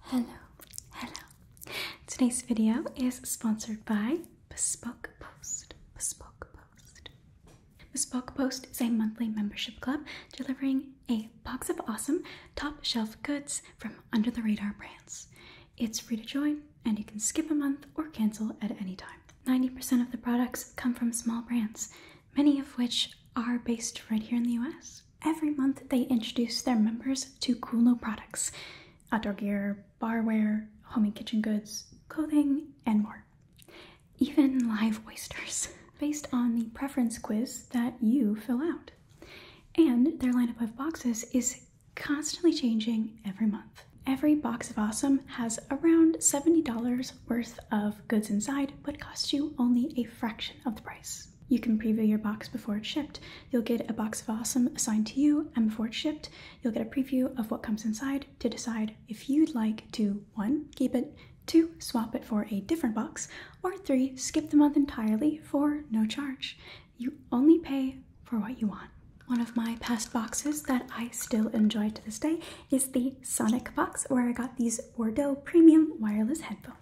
Hello, hello. Today's video is sponsored by Bespoke Post. Bespoke Post. Bespoke Post is a monthly membership club delivering a box of awesome top shelf goods from under the radar brands. It's free to join and you can skip a month or cancel at any time. 90% of the products come from small brands, many of which are based right here in the US. Every month, they introduce their members to cool new products outdoor gear, barware, homey kitchen goods, clothing, and more. Even live oysters, based on the preference quiz that you fill out. And their lineup of boxes is constantly changing every month. Every box of awesome has around $70 worth of goods inside, but costs you only a fraction of the price. You can preview your box before it's shipped. You'll get a box of awesome assigned to you, and before it's shipped, you'll get a preview of what comes inside to decide if you'd like to 1. keep it, 2. swap it for a different box, or 3. skip the month entirely for no charge. You only pay for what you want. One of my past boxes that I still enjoy to this day is the Sonic box where I got these Bordeaux premium wireless headphones.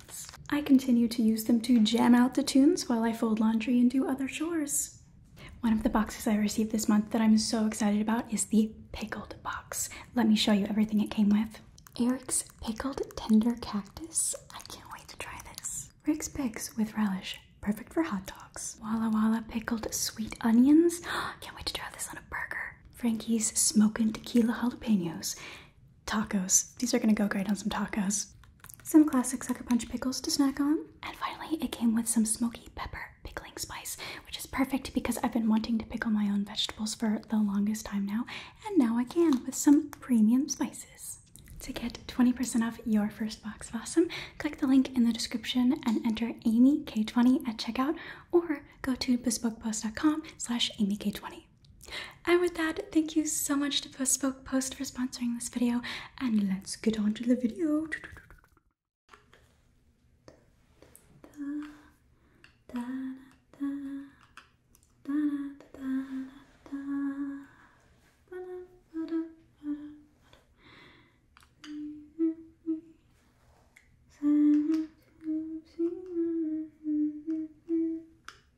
I continue to use them to jam out the tunes while I fold laundry and do other chores. One of the boxes I received this month that I'm so excited about is the pickled box. Let me show you everything it came with. Eric's Pickled Tender Cactus. I can't wait to try this. Rick's Picks with relish. Perfect for hot dogs. Walla Walla Pickled Sweet Onions. can't wait to try this on a burger. Frankie's Smokin' Tequila Jalapenos. Tacos. These are gonna go great on some tacos. Some classic Sucker Punch pickles to snack on. And finally, it came with some smoky pepper pickling spice, which is perfect because I've been wanting to pickle my own vegetables for the longest time now, and now I can with some premium spices. To get 20% off your first box of awesome, click the link in the description and enter AmyK20 at checkout or go to bespokebuzz.com slash AmyK20. And with that, thank you so much to Bespoke Post for sponsoring this video, and let's get on to the video.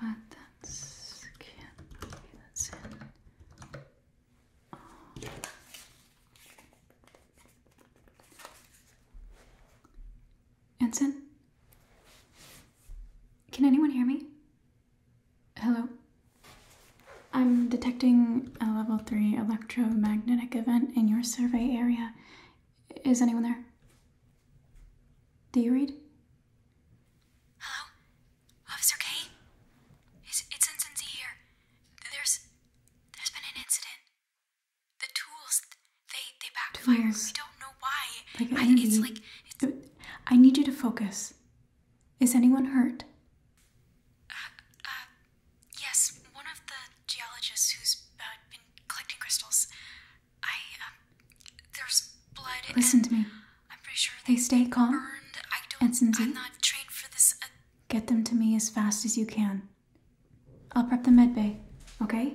but Can anyone hear me? Hello? I'm detecting a level 3 electromagnetic event in your survey area. Is anyone there? Do you read? Hello? Officer K? It's, it's Incensi here. There's... There's been an incident. The tools, they, they backfired. We don't know why. I, it's like... It's... I need you to focus. Is anyone hurt? Uh, uh, yes, one of the geologists who's uh, been collecting crystals. I, um, there's blood. Listen to me. I'm pretty sure they, stay calm. And Cindy, I'm not trained for this. Uh, get them to me as fast as you can. I'll prep the med bay. Okay.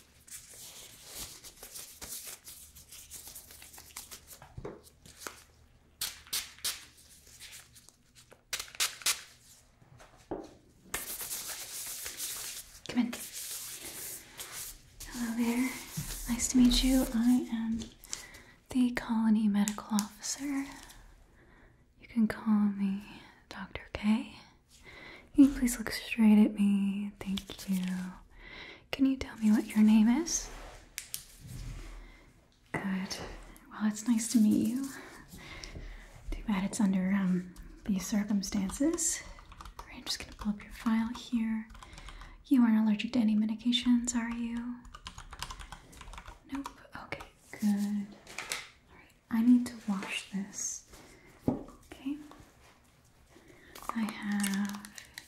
Come in. Hello there. Nice to meet you. I am the colony medical officer. You can call me Dr. K. Can you please look straight at me? Thank you. Can you tell me what your name is? Good. Well, it's nice to meet you. Too bad it's under um, these circumstances. I'm just gonna pull up your file here. You aren't allergic to any medications, are you? Nope. Okay, good. I need to wash this. Okay. I have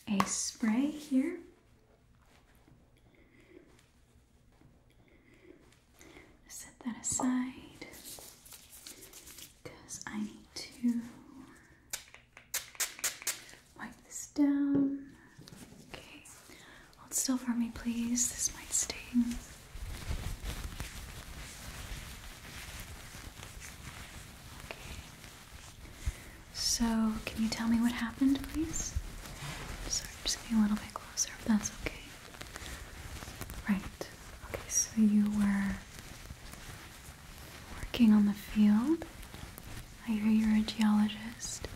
a spray here. Set that aside because I need to wipe this down. Okay, hold still for me, please. This might sting. So, can you tell me what happened, please? Sorry, just getting a little bit closer, that's okay. Right. Okay, so you were working on the field. I hear you're a geologist.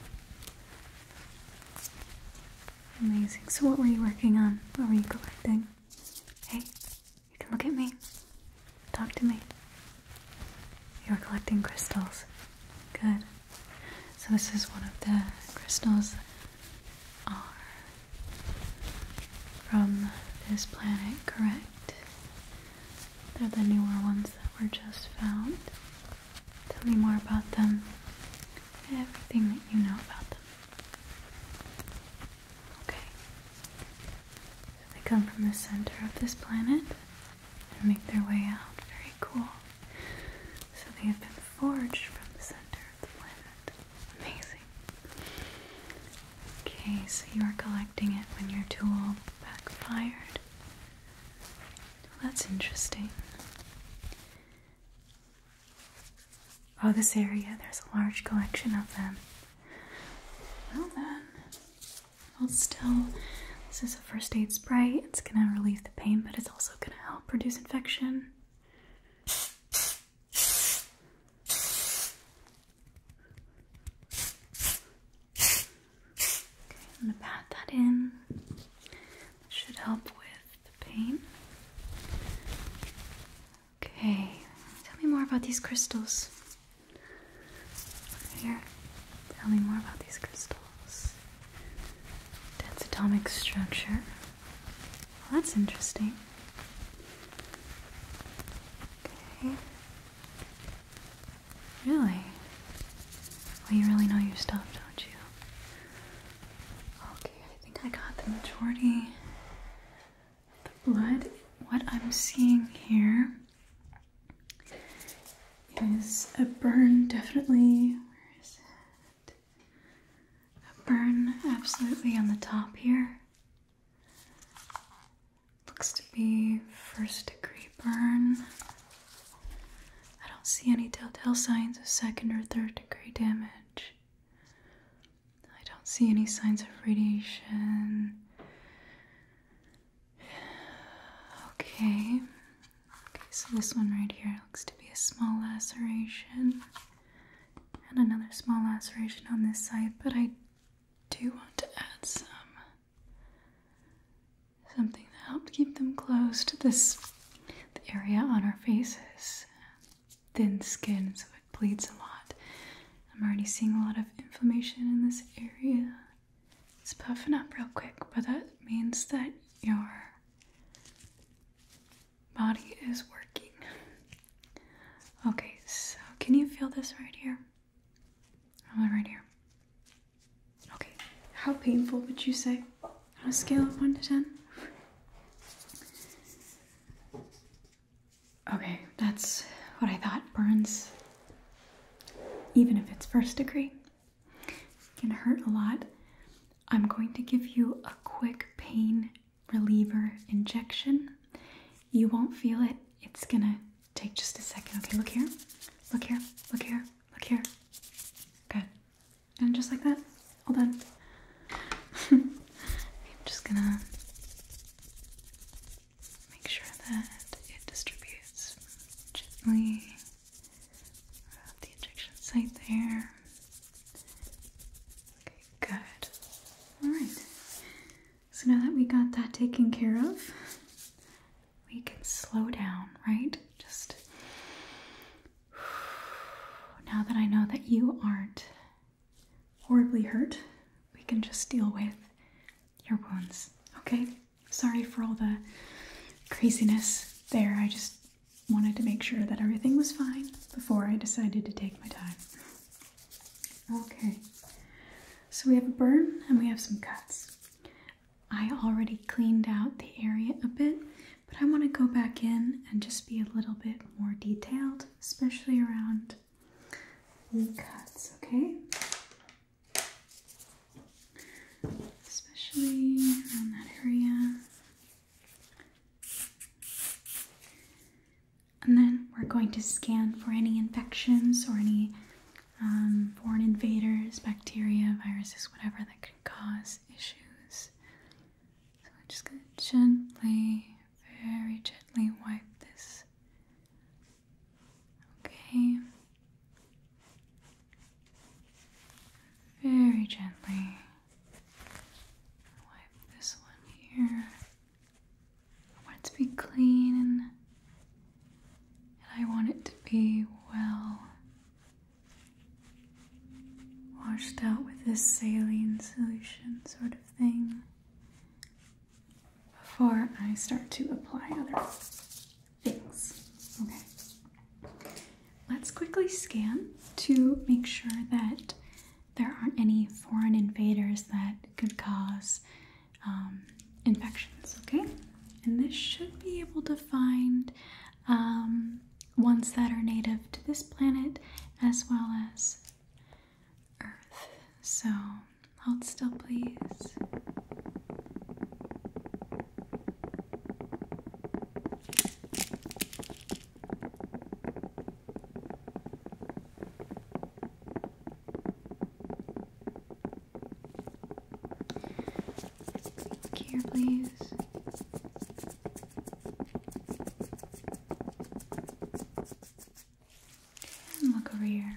Amazing. So, what were you working on? What were you collecting? Hey, you can look at me. Talk to me. You're collecting crystals. Good. So this is one of the crystals are from this planet, correct? They're the newer ones that were just found. Tell me more about them. Everything that you know about them. Okay. So they come from the center of this planet and make their way out. Very cool. So they have been forged from the center of the planet. Amazing. Okay, so you are collecting it when your tool backfired. Well, that's interesting. Oh, this area, there's a large collection of them. Well then, hold still. This is a first aid spray. It's gonna relieve the pain, but it's also gonna help reduce infection. Okay, I'm gonna pat that in. should help with the pain. Okay, tell me more about these crystals. Here, tell me more about these crystals. Dense atomic structure. that's interesting. Okay. Really? Well, you really know your stuff, don't you? Okay, I think I got the majority the blood, what I'm seeing here is a burn, definitely. A burn, absolutely, on the top here. Looks to be first degree burn. I don't see any telltale signs of second or third degree damage. I don't see any signs of radiation. Okay. Okay, so this one right here looks to be a small laceration. And another small laceration on this side, but I do want to add some something to help keep them closed. This the area on our faces thin skin, so it bleeds a lot. I'm already seeing a lot of inflammation in this area. It's puffing up real quick, but that means that your body is working. Okay, so can you feel this right here? All right here. Okay, how painful would you say? On a scale of 1 to 10? Okay, that's what I thought. Burns, even if it's first degree, can hurt a lot. I'm going to give you a quick pain reliever injection. You won't feel it. It's gonna take just a second. Okay, look here. Look here. Look here. Look here. Good. And just like that. All done. I'm just gonna make sure that it distributes gently throughout the injection site there. Okay, good. Alright, so now that we got that taken care of, we can slow down, right? Just now that I know that you aren't horribly hurt, we can just deal with your wounds. Okay? Sorry for all the craziness there. I just wanted to make sure that everything was fine before I decided to take my time. Okay. So we have a burn and we have some cuts. I already cleaned out the area a bit, but I want to go back in and just be a little bit more detailed, especially around the cuts, okay? Especially around that area. And then we're going to scan for any infections or any um, foreign invaders, bacteria, viruses, whatever that could cause issues. So we're just gonna gently very gently wipe this. Okay. Very gently wipe this one here. I want it to be clean and I want it to be well washed out with this saline solution sort of thing before I start to apply other things. Okay. Let's quickly scan to make sure that there aren't any foreign invaders that could cause um, infections, okay? And this should be able to find um, ones that are native to this planet as well as earth. So hold still, please. Here, please look over here.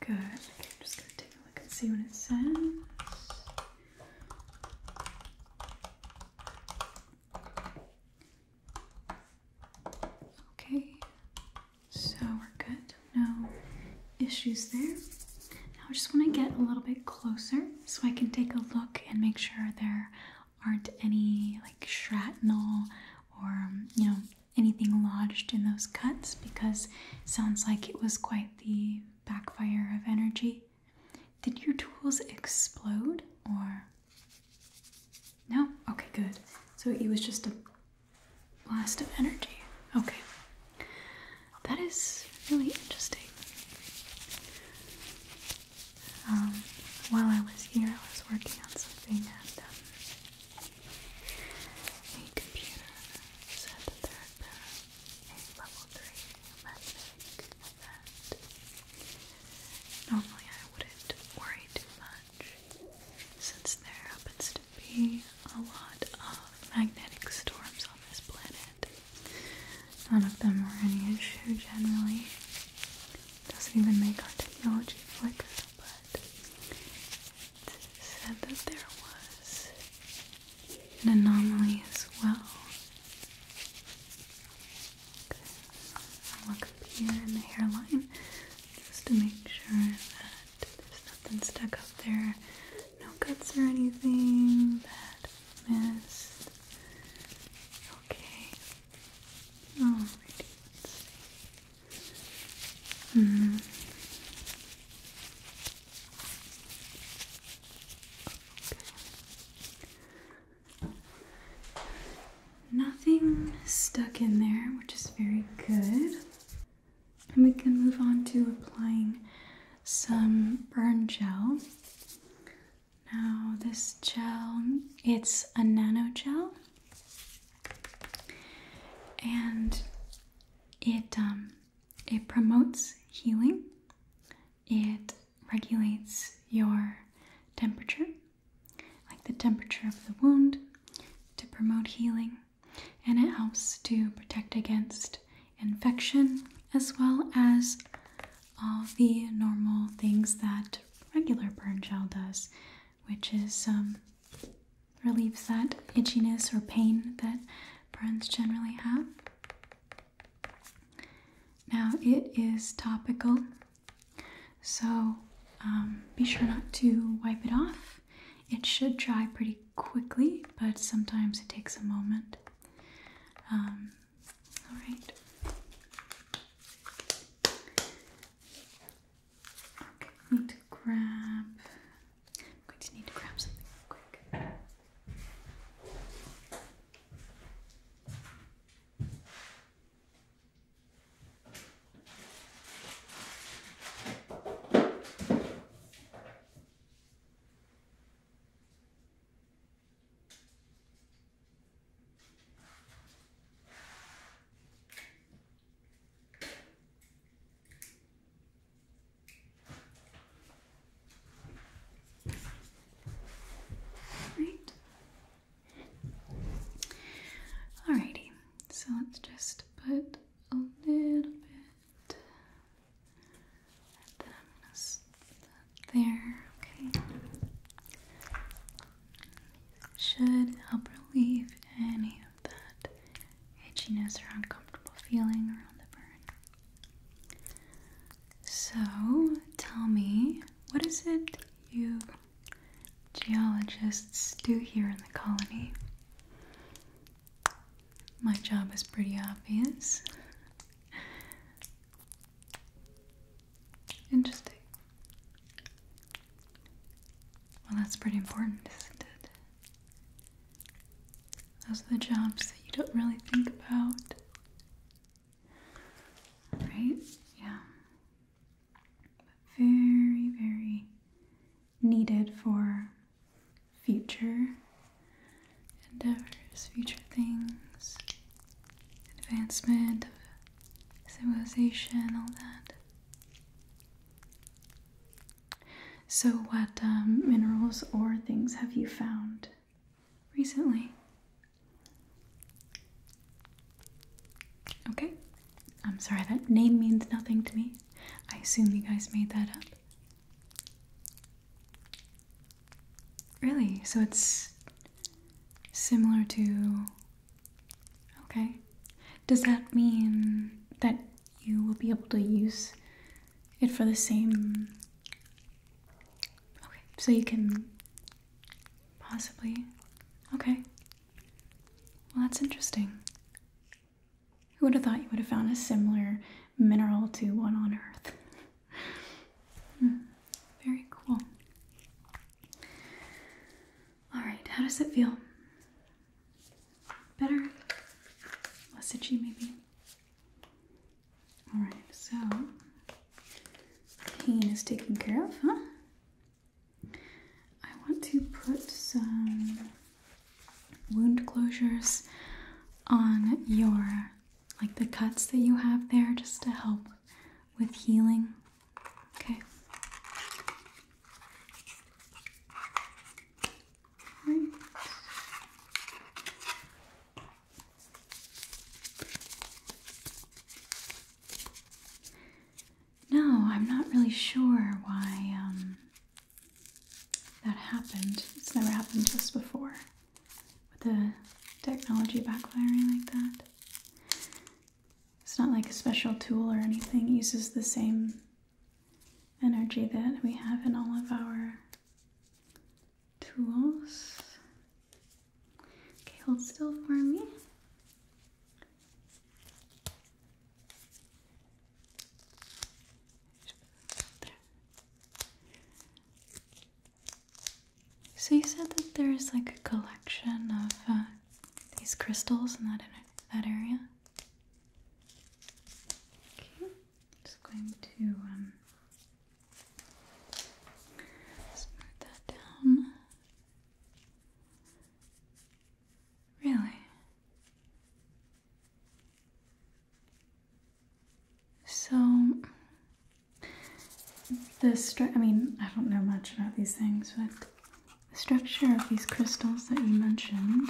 Good. Okay, I'm just going to take a look and see what it says. Okay, so we're good no issues there. Now I just want to get a little bit closer so I can take a look and make sure there aren't any like shrapnel or um, you know anything lodged in those cuts because sounds like it was quite the backfire of energy. Did your tools explode or no? Okay, good. So it was just a blast of energy. Okay. That is really interesting. Um, while I was here, I was working on something, and the um, computer said that there had a level 3 magnetic event. Normally, I wouldn't worry too much, since there happens be a lot of magnetic storms on this planet. None of them were any issue generally. Doesn't even make our technology flicker, but it said that there was an anomaly as well. Okay, I'll look here in the hairline just to make sure that there's nothing stuck up there. No cuts or anything. Bad missed. Okay. Alrighty, hmm. okay. Nothing stuck in there, which is very good. And we can move on to applying some burn gel. Now, this gel, it's a nano gel, and it um, it promotes healing. It regulates your temperature, like the temperature of the wound, to promote healing and it helps to protect against infection as well as all the normal things that regular burn gel does, which is um, relieves that itchiness or pain that burns generally have. Now it is topical, so um, be sure not to wipe it off it should dry pretty quickly, but sometimes it takes a moment. Um, all right. Okay, need to grab. I'm going to need to grab something quick. Right. Alrighty, so let's just put a little bit that there, okay. Should help relieve any of that itchiness or uncomfortable feeling around the burn. So tell me, what is it you geologists do here in the colony? My job is pretty obvious. Interesting. Well, that's pretty important, isn't it? Those are the jobs that you don't really think about. Right? Yeah. very, very needed for future endeavors, future things, advancement of civilization, all that. So, what um, minerals or things have you found recently? Okay, I'm sorry, that name means nothing to me. I assume you guys made that up. Really? So it's similar to. Okay. Does that mean that you will be able to use it for the same. Okay, so you can possibly. Okay. Well, that's interesting. Who would have thought you would have found a similar mineral to one on Earth? Hmm, very cool. Alright, how does it feel? Better? Less itchy, maybe? Alright, so pain is taken care of, huh? I want to put some wound closures on your like the cuts that you have there just to help with healing. Okay. No, I'm not really sure why um that happened. It's never happened to us before with the technology backfiring like that. It's not like a special tool or anything, it uses the same energy that we have in all of our tools. Okay, hold still for me. So you said that there's like a collection of uh, these crystals in that in that area. Okay, just going to um, smooth that down. Really? So, the stru- I mean, I don't know much about these things, but the structure of these crystals that you mentioned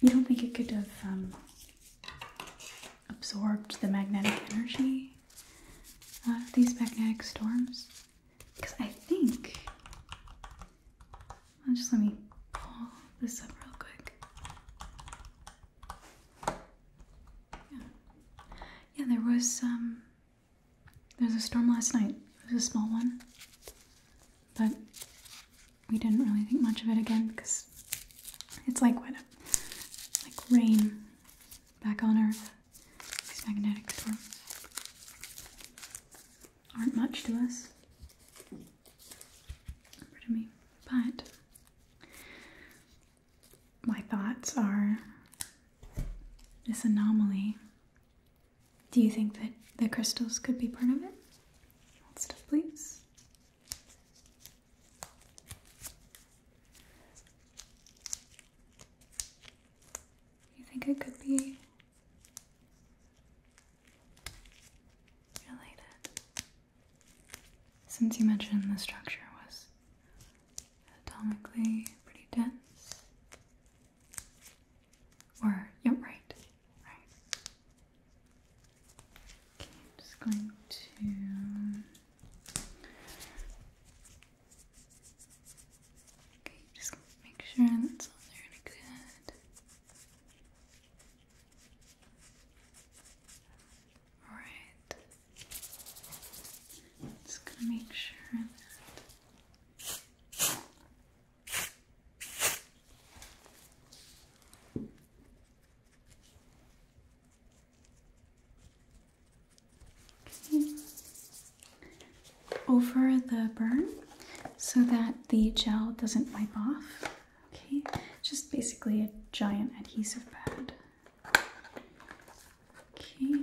you don't think it could have um, absorbed the magnetic energy of these magnetic storms? Because I think. just let me pull this up real quick. Yeah, there was some. Um, there was a storm last night. It was a small one. But we didn't really think much of it again because it's like what? Like rain back on Earth. These magnetic storms aren't much to us. But my thoughts are this anomaly. Do you think that the crystals could be part of it? Stuff, please. You think it could be related. Since you mentioned the structure was anatomically pretty dense. Or, yep, yeah, right. Right. Okay, I'm just going to Okay, just make sure that's all there and good. Alright. Just gonna make sure that Okay over the burn so that the gel doesn't wipe off. Okay, just basically a giant adhesive pad. Okay.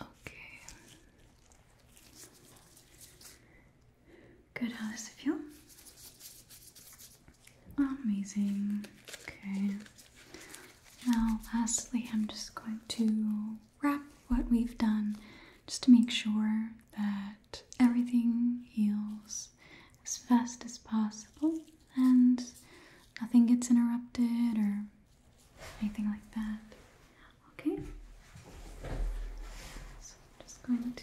Okay. Good, how does it feel? Amazing. Okay. Now, lastly, I'm just going to wrap what we've done just to make sure that everything heals as fast as possible and nothing gets interrupted or anything like that. Okay? So I'm just going to.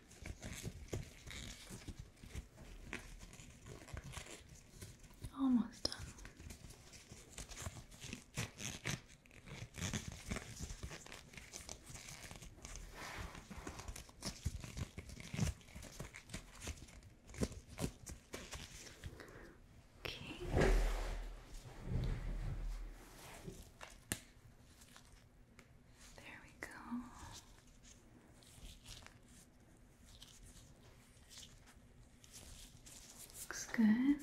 Almost done. Okay. There we go. Looks good.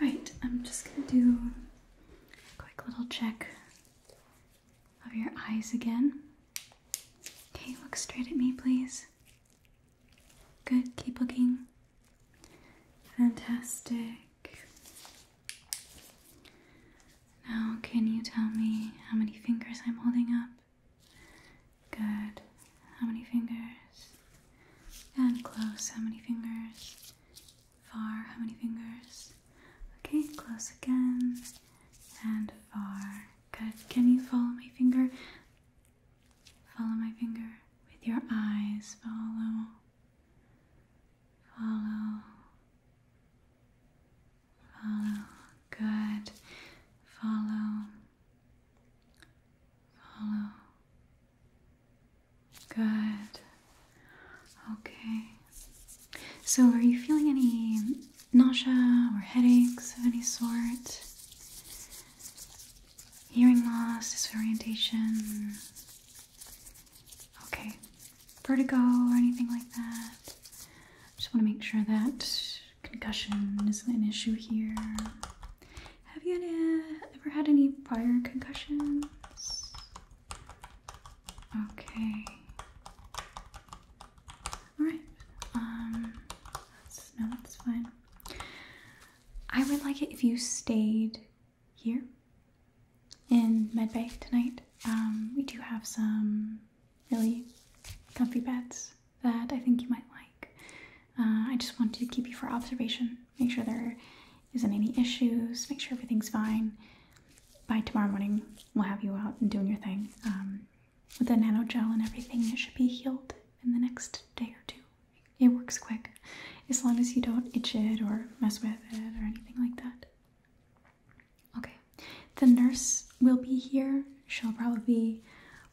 Alright, I'm just gonna do a quick little check of your eyes again. Okay, look straight at me, please. Good, keep looking. Fantastic. Now, can you tell me how many fingers I'm holding up? Good. How many fingers? And close, how many fingers? Far, how many fingers? Okay, close again. And far. Good. Can you follow my finger? Follow my finger with your eyes. Follow. Follow. Follow. Good. Follow. Follow. Good. Okay. So, are you feeling any nausea or headaches of any sort? Hearing loss, disorientation? Okay, vertigo or anything like that. Just want to make sure that concussion isn't an issue here. Have you ever had any prior concussions? Okay. Alright. Um, no, that's fine. I would like it if you stayed here in Medbay tonight. Um, we do have some really comfy beds that I think you might like. Uh, I just want to keep you for observation, make sure there isn't any issues, make sure everything's fine. By tomorrow morning, we'll have you out and doing your thing. Um, with the nano gel and everything, it should be healed in the next day or two. It works quick, as long as you don't itch it or mess with it or anything like that. Okay, the nurse will be here. She'll probably be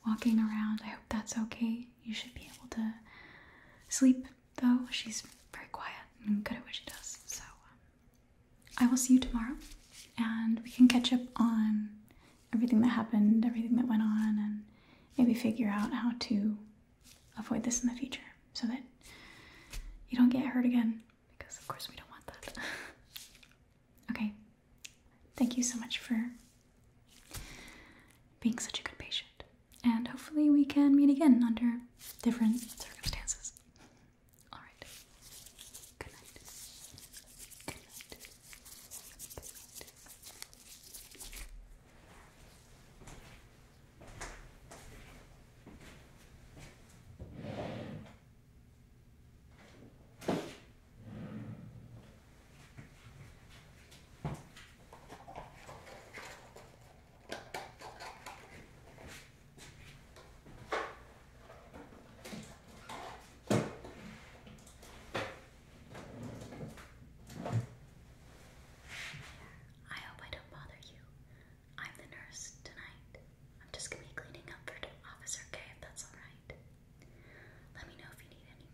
walking around. I hope that's okay. You should be able to sleep though. She's very quiet and good at what she does. So um, I will see you tomorrow and we can catch up on everything that happened, everything that went on, and maybe figure out how to avoid this in the future so that you don't get hurt again because of course we don't want that. okay. Thank you so much for being such a good patient. And hopefully we can meet again under different circumstances. All right. Good night. Good night. I hope I don't bother you. I'm the nurse tonight. I'm just gonna be cleaning up for Officer K if that's alright. Let me know if you need anything.